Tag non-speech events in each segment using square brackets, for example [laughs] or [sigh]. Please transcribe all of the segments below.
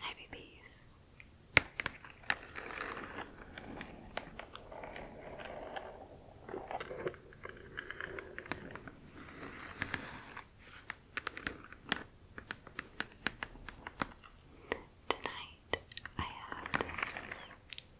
Hi, babies. Tonight I have this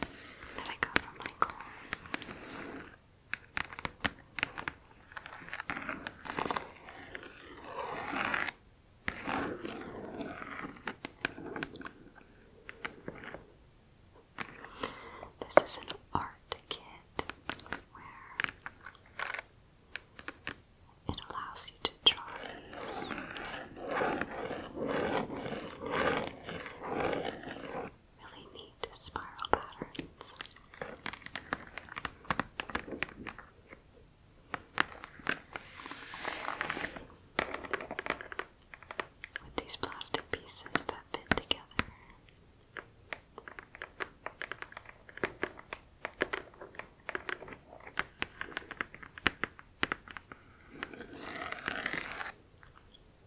that I got from Michael's. This is an art kit where it allows you to draw Really neat spiral patterns. With these plastic pieces that fit together.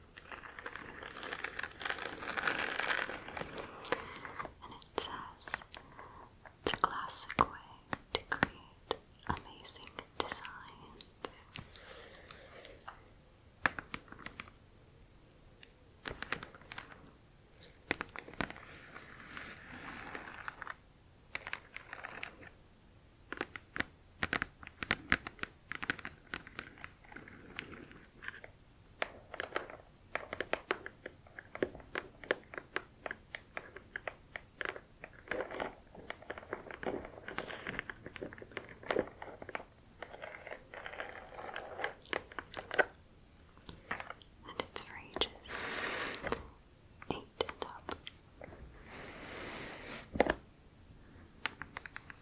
And it says the classic way to create amazing designs. And it's for ages eight and up.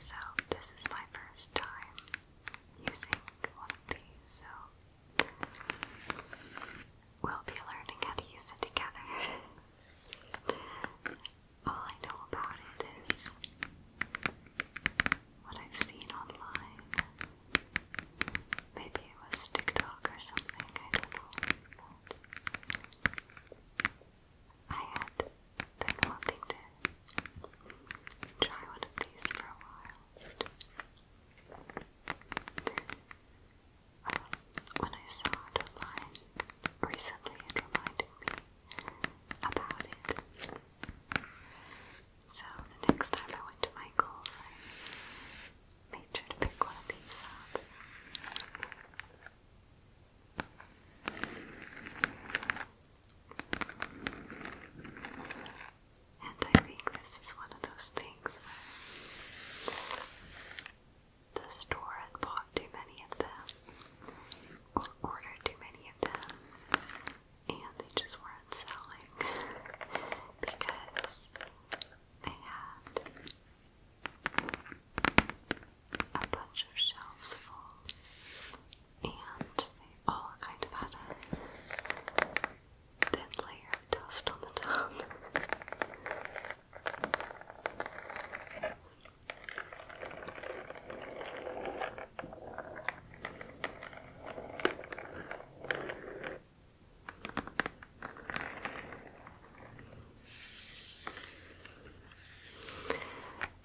So, this is my first time using one of these, so we'll be learning how to use it together. [laughs] All I know about it is what I've seen online. Maybe it was TikTok or something, I don't know. I had been wanting to try one of these for a while. Um, when I saw it online recently, it reminded me about it. So the next time I went to Michael's, I made sure to pick one of these up. And I think this is one of those things where the store had bought too many of them or ordered too many of them and they just weren't selling [laughs] because they had a bunch of shelves full, and they all kind of had a thin layer of dust on the top.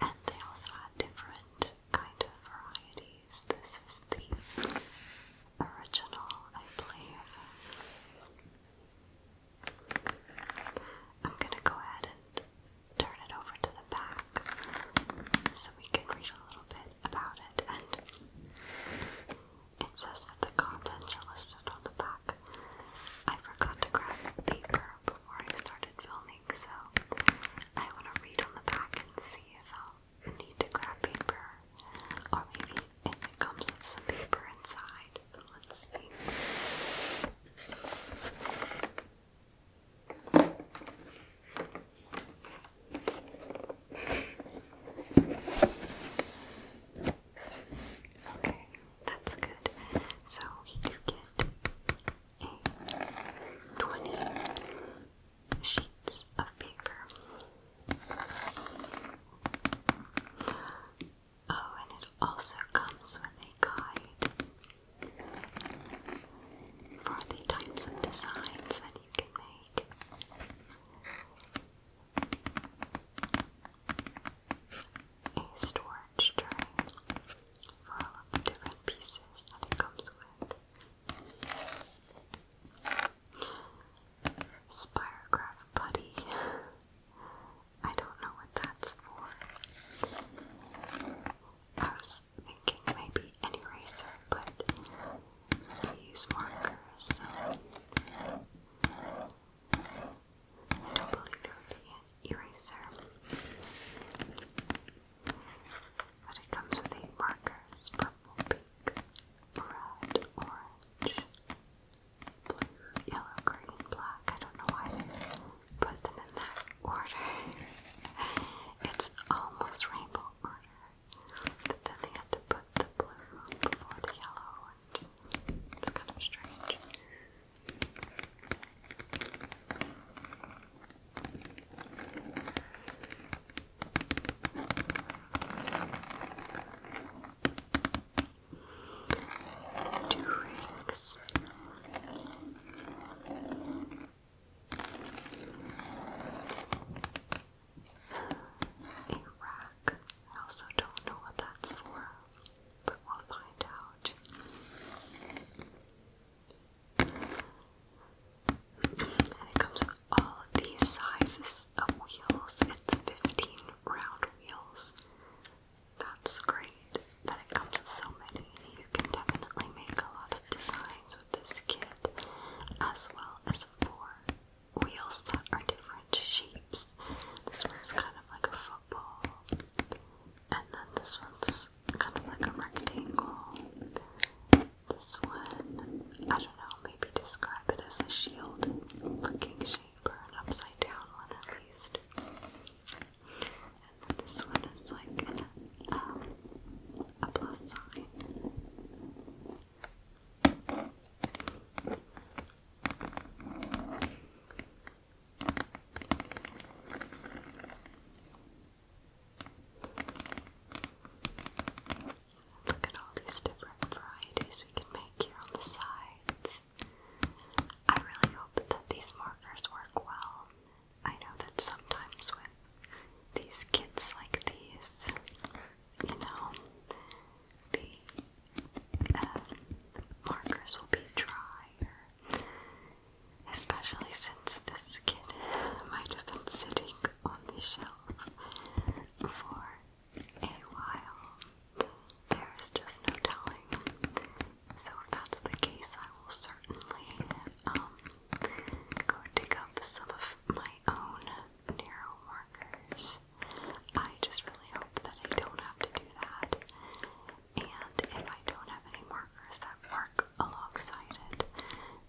And they also had different kind of varieties. This is the original, I believe. I'm gonna go ahead and turn it over to the back so we can read a little bit about it it says that the contents are listed on the back. I forgot to grab paper before I started filming, so I want to read on the back and see if i need to grab paper, or maybe it comes with some paper inside. So let's see. Okay, that's good. So we get a 20 sheets of paper. Oh, and it also comes with a guide for the types of designs that you can make a storage tray for all of the different pieces that it comes with. Spirograph Buddy. I don't know what that's for. I was thinking maybe an eraser, but use markers, I don't believe it would be an eraser. But it comes with eight markers purple, pink, red, orange, blue, yellow, green, black. I don't know why I put them in that order. [laughs] it's almost rainbow order. But then they had to put the blue before the yellow, and it's kind of strange. Two rings. A rack. I also don't know what that's for, but we'll find out. And it comes with all these sizes of wheels. It's 15 round wheels. That's great that it comes with so many. You can definitely make a lot of designs with this kit, as well as four wheels that are different shapes. This one's kind of like a football, and then this one's kind of like a rectangle. This one, I don't know, maybe describe it as a shield looking shape or an upside down one at least. And then this one is like um, a plus sign. Look at all these different varieties we can make here on the sides. I really hope that these markers work well. I know that sometimes with these kits like these, you know, the um, markers will be drier. Especially since this kid might have been sitting on the shelf for a while. There is just no telling. So, if that's the case, I will certainly um, go dig up some of my own narrow markers. I just really hope that I don't have to do that. And if I don't have any markers that work alongside it,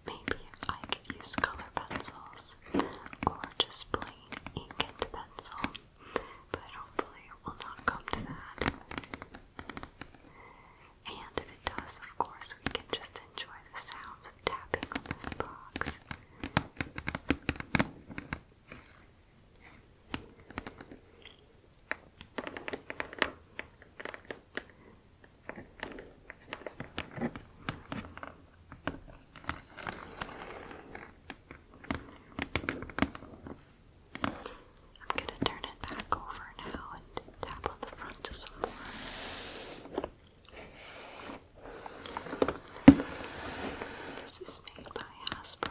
maybe I could use color pencils or just plain ink and pencil. But hopefully it will not come to that. And if it does, of course, we can just enjoy the sounds tapping on this box. I'm going to turn it back over now and tap on the front some more. This is made by Hasbro.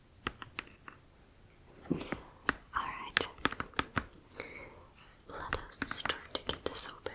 Alright, let us start to get this open.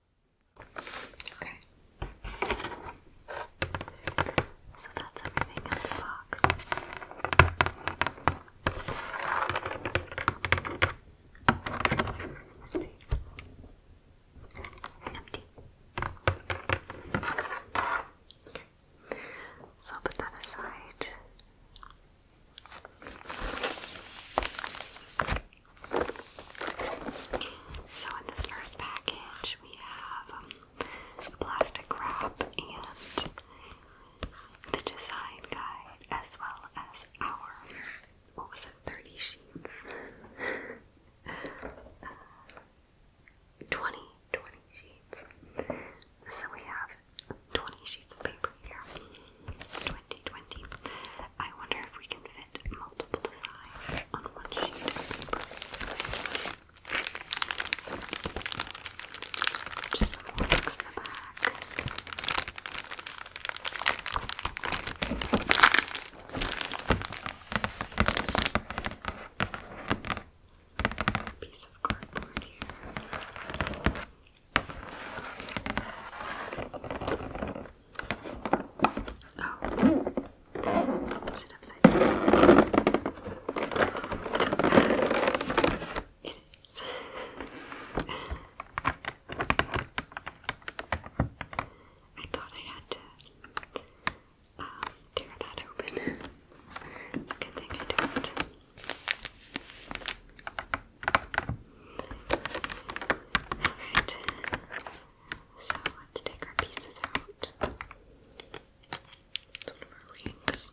Okay. So that's everything in the box. Empty. So I'll put that aside. So in this first package, we have um, plastic wrap and the design guide, as well as our what was it, 30 sheets? uh, 20, sheets. So we have 20 sheets of paper here. 2020. I wonder if we can had multiple designs on one sheet of paper. Just some the back. Piece of cardboard here. Oh. Is upside It is. I thought I had to um, tear that open. It's a good thing I didn't. Alright. So let's take our pieces out. It's of our rings.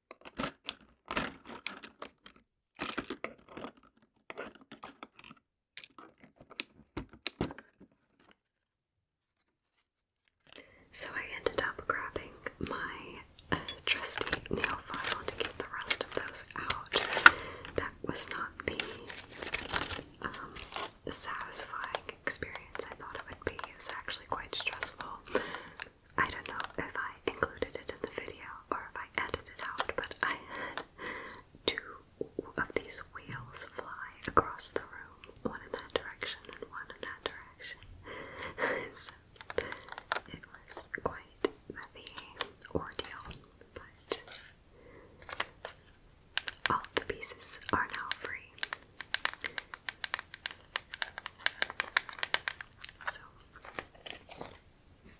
So I ended up grabbing my uh, trusty nail file to get the rest of those out. That was not the um, satisfying experience I thought it would be. It was actually quite stressful. I don't know if I included it in the video or if I edited it out, but I had two of these wheels fly across the room, one in that direction and one in that direction. [laughs] so it was quite the ordeal, but all the pieces are now free. So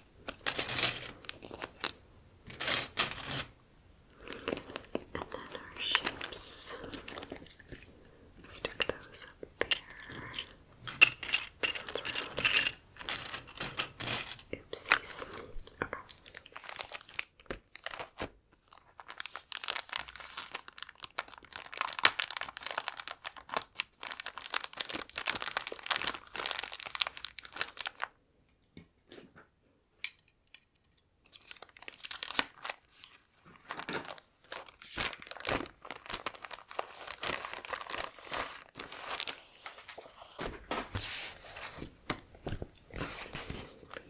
And then our shapes. Stick those up there. Oopsies. Okay.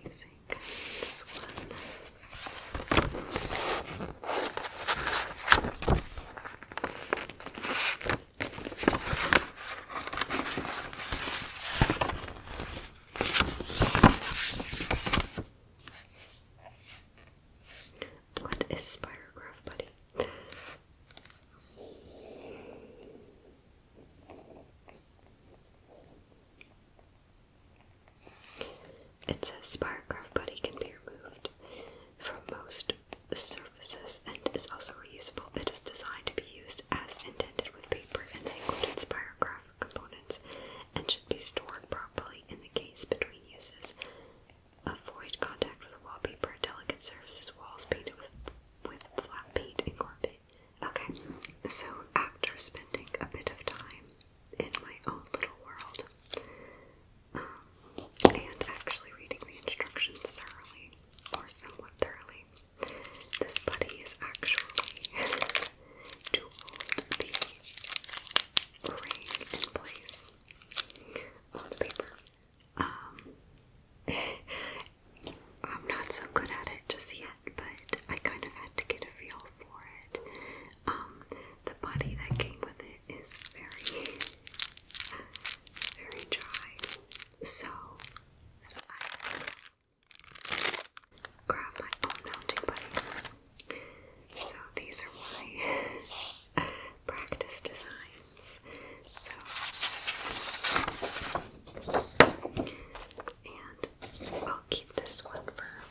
Using this one. What is Spirograph, buddy? It says Spirograph can be removed from most search and is also reusable. It is designed to be used as intended with paper and the included spirograph components and should be stored properly in the case between uses. Avoid contact with wallpaper, delicate surfaces, walls painted with, with flat paint and carpet. Okay, so after spending a bit of time in my own little world um, and actually reading the instructions thoroughly or somewhat thoroughly, this buddy is actually to [laughs] hold the ring in place on paper. Um, [laughs] I'm not so good at it just yet, but I kind of had to get a feel for it. Um, the body that came with it is very, [laughs] very dry. So grab my own mounting buddy. So these are my [laughs] practice designs. So and I'll keep this one for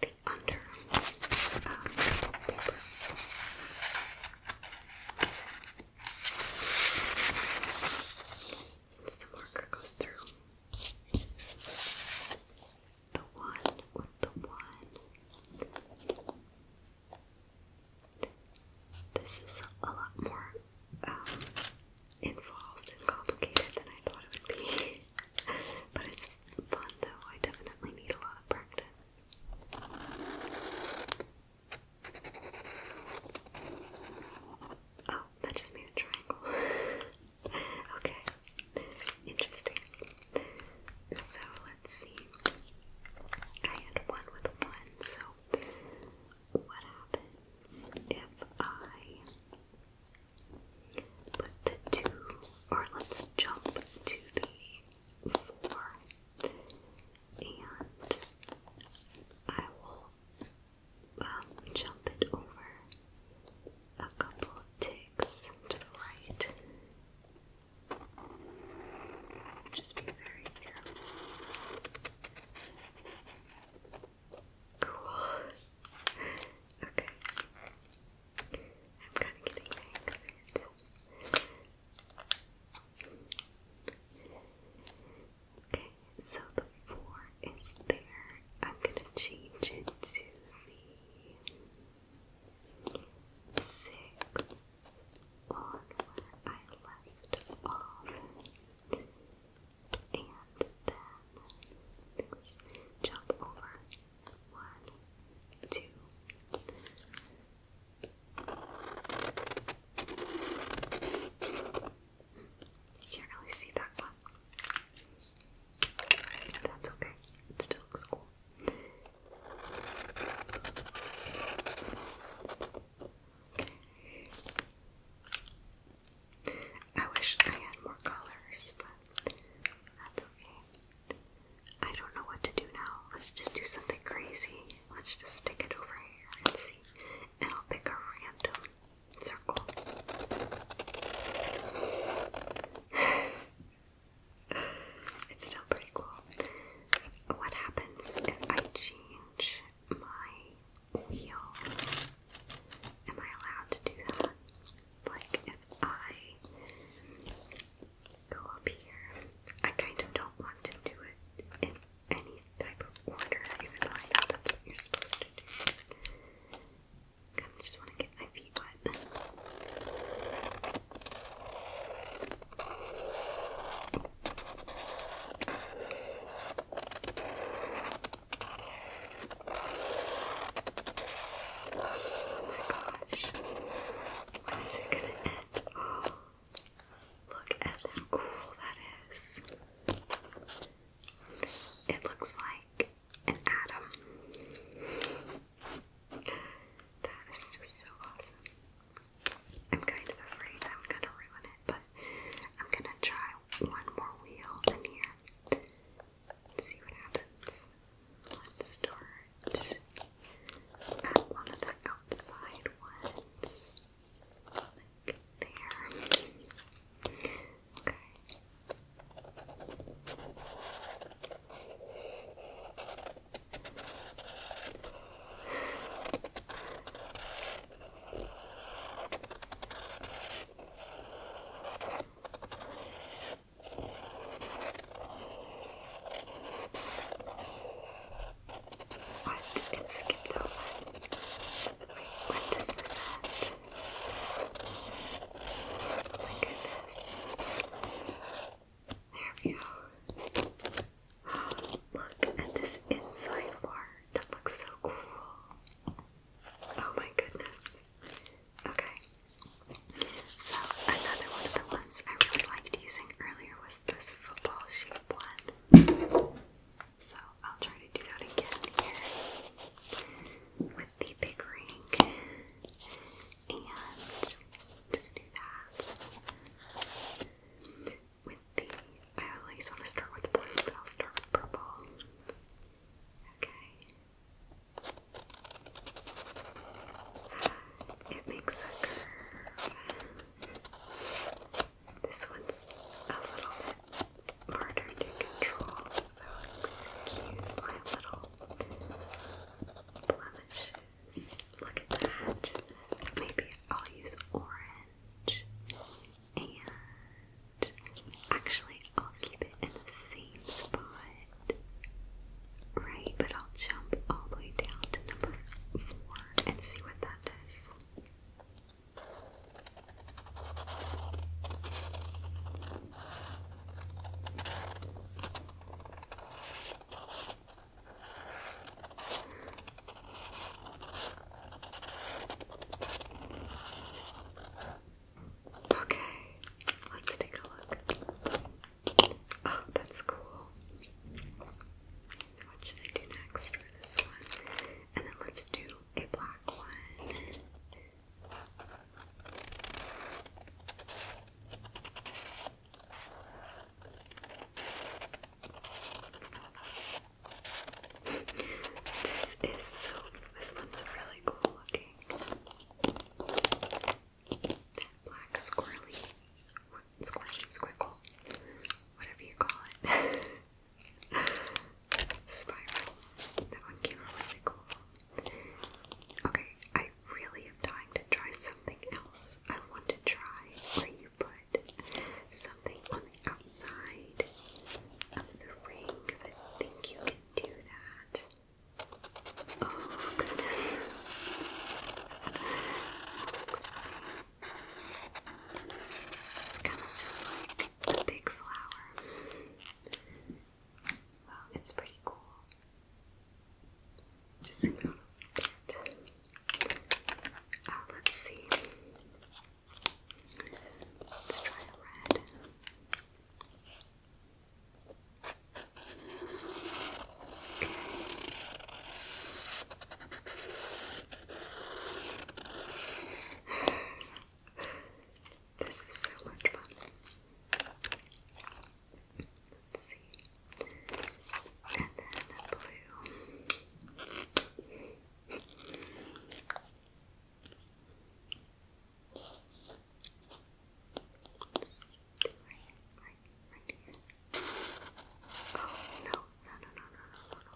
the under uh, since the marker goes through the one with the one, this is a lot more um, involved and complicated than I thought it would be. [laughs] but it's fun though, I definitely need a lot of practice. Oh, that just made a triangle. [laughs] okay, interesting. So let's see. I had one with one, so what happens if I put the two, or let's jump to the four? and I will um, jump it over a couple ticks to the right. Just be very careful. Cool. Okay. I'm kind of getting the hang Okay, so the four is there. I'm gonna change it to the six on where I left off. And then let's jump over one, two, you can't really see that one. That's okay. It still looks cool. I wish I had more colors, but that's okay. I don't know what to do now. Let's just do something crazy. Let's just stick it over here and see. And I'll pick a random circle. [sighs] it's still pretty cool. What happens if I change my wheel? Am I allowed to do that? Like, if I go up here, I kind of don't want to do it any type of order you would like. That's what you're supposed to do. I just want to get my feet wet. Oh my gosh. When is it gonna end? Oh. Look at how cool that is. It looks like an atom. That is just so awesome. I'm kind of afraid I'm gonna ruin it, but I'm gonna try one more wheel in here see what happens. Let's start at one of the outside ones. Like there. Okay. What? It skipped over. Wait, when this There we go. Oh, look at this inside bar. That looks so cool. Oh my goodness. Okay. So, another one of the ones I really liked using earlier was this football shape one. So I'll try to do that again here with the big ring and just do that with the, I always want to start with blue, but I'll start with purple. Okay. It makes a curve. This one's a little bit harder to control, so excuse my little blemishes. Look at that. Maybe I'll use orange. And actually, I'll keep it in the same spot. Right, but I'll jump all the way down to number four and see what that does. Okay, let's take a look. Oh, that's cool what should I do next for this one? And then let's do a black one. [laughs] This is so, this one's really cool looking. That black squirrely squishy, squiggle, whatever you call it. [laughs] Spiral. That one came really cool. Okay, I really am dying to try something else. I want to try where you put something on the outside of the ring because I think you can do that. Oh goodness. It's kind of like a big flower. it's pretty cool. Just zoom out a let's see. Let's try red. Okay. This is so much fun. Let's see. And then blue. right here. Oh no, no, no, no, no, no, no,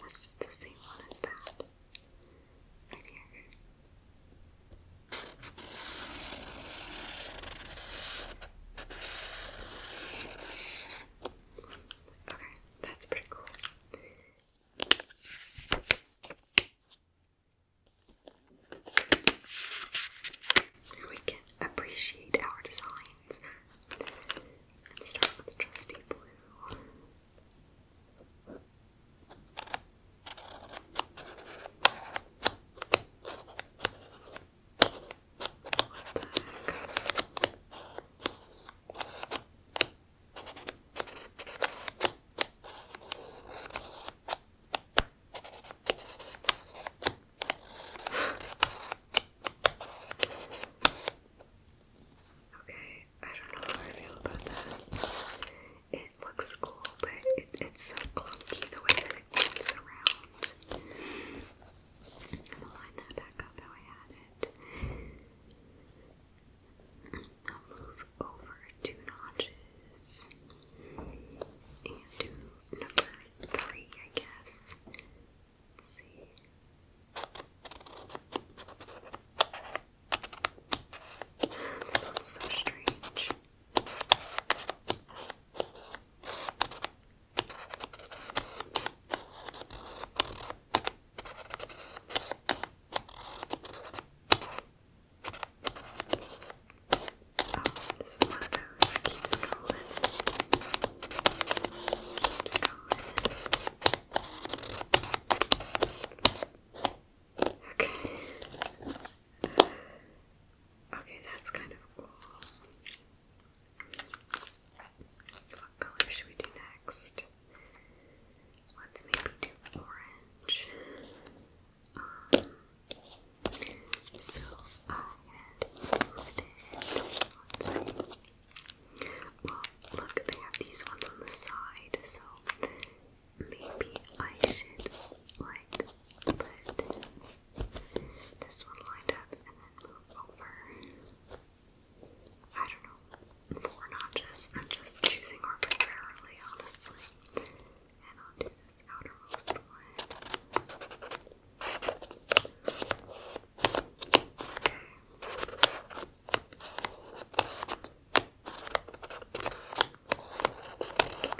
That's just the same one as that. Right here. Okay, that's pretty cool. We can appreciate our designs. Let's start with trusty blue. Okay, I don't know how I feel about that. It looks cool, but it's so clunky the way that it comes around. I'm gonna line that back up how I had it. I'll move over two notches and do number three, I guess. Let's see. This one's so strange. Oh, this is keeps going. Okay. Okay, that's kind of cool. What color should we do next? Let's maybe do orange. Um, so oh, well, look, they have these ones on the side, so maybe I should like put this one lined up and then move over. I don't know, four notches. I'm just choosing arbitrarily, honestly. And I'll do this outermost one. Taking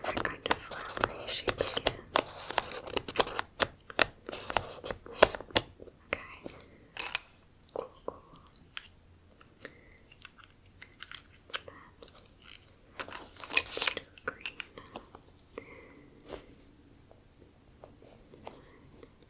that kind of flowery shape again. Okay. Cool, cool. Let's green.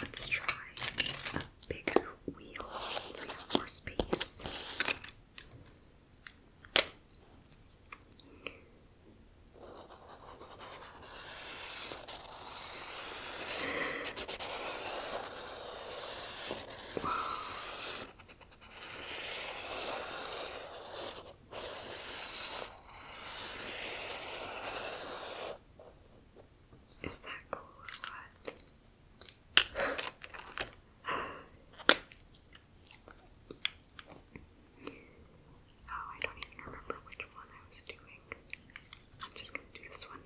Let's try a bigger wheel since we have more space. Is that cool or what? oh, I don't even remember which one I was doing. I'm just gonna do this one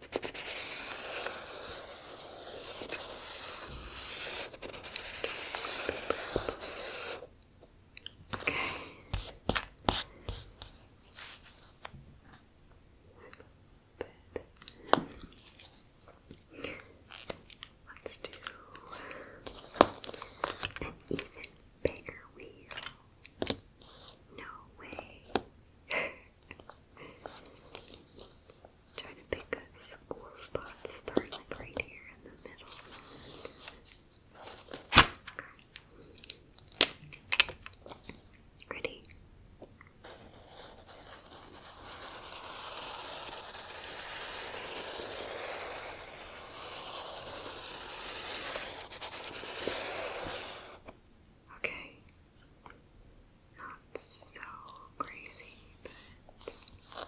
Okay. Let's do an even bigger wheel. No way. [laughs] Trying to pick a school spot to start, like right here in the middle. Ready? Okay not so crazy, but I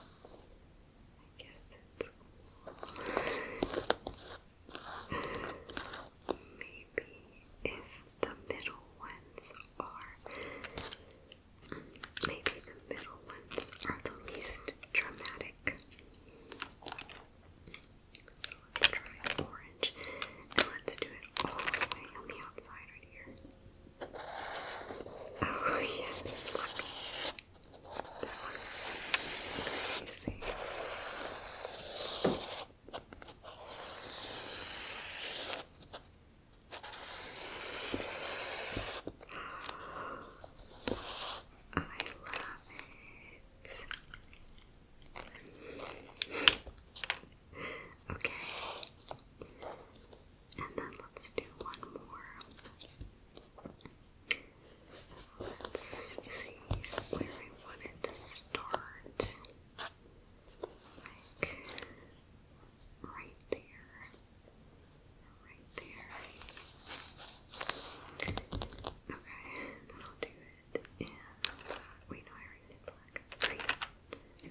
guess it's Maybe if the middle ones are, maybe the middle ones are the least dramatic. So let's try orange, and let's do it all the way on the outside right here. Oh yeah, that one. That one is easy. I love it. Okay. And then let's do one more. Let's see where I wanted to start. Like right there. Right there. Okay, that'll do it. Uh, wait, no, I already did black. Right.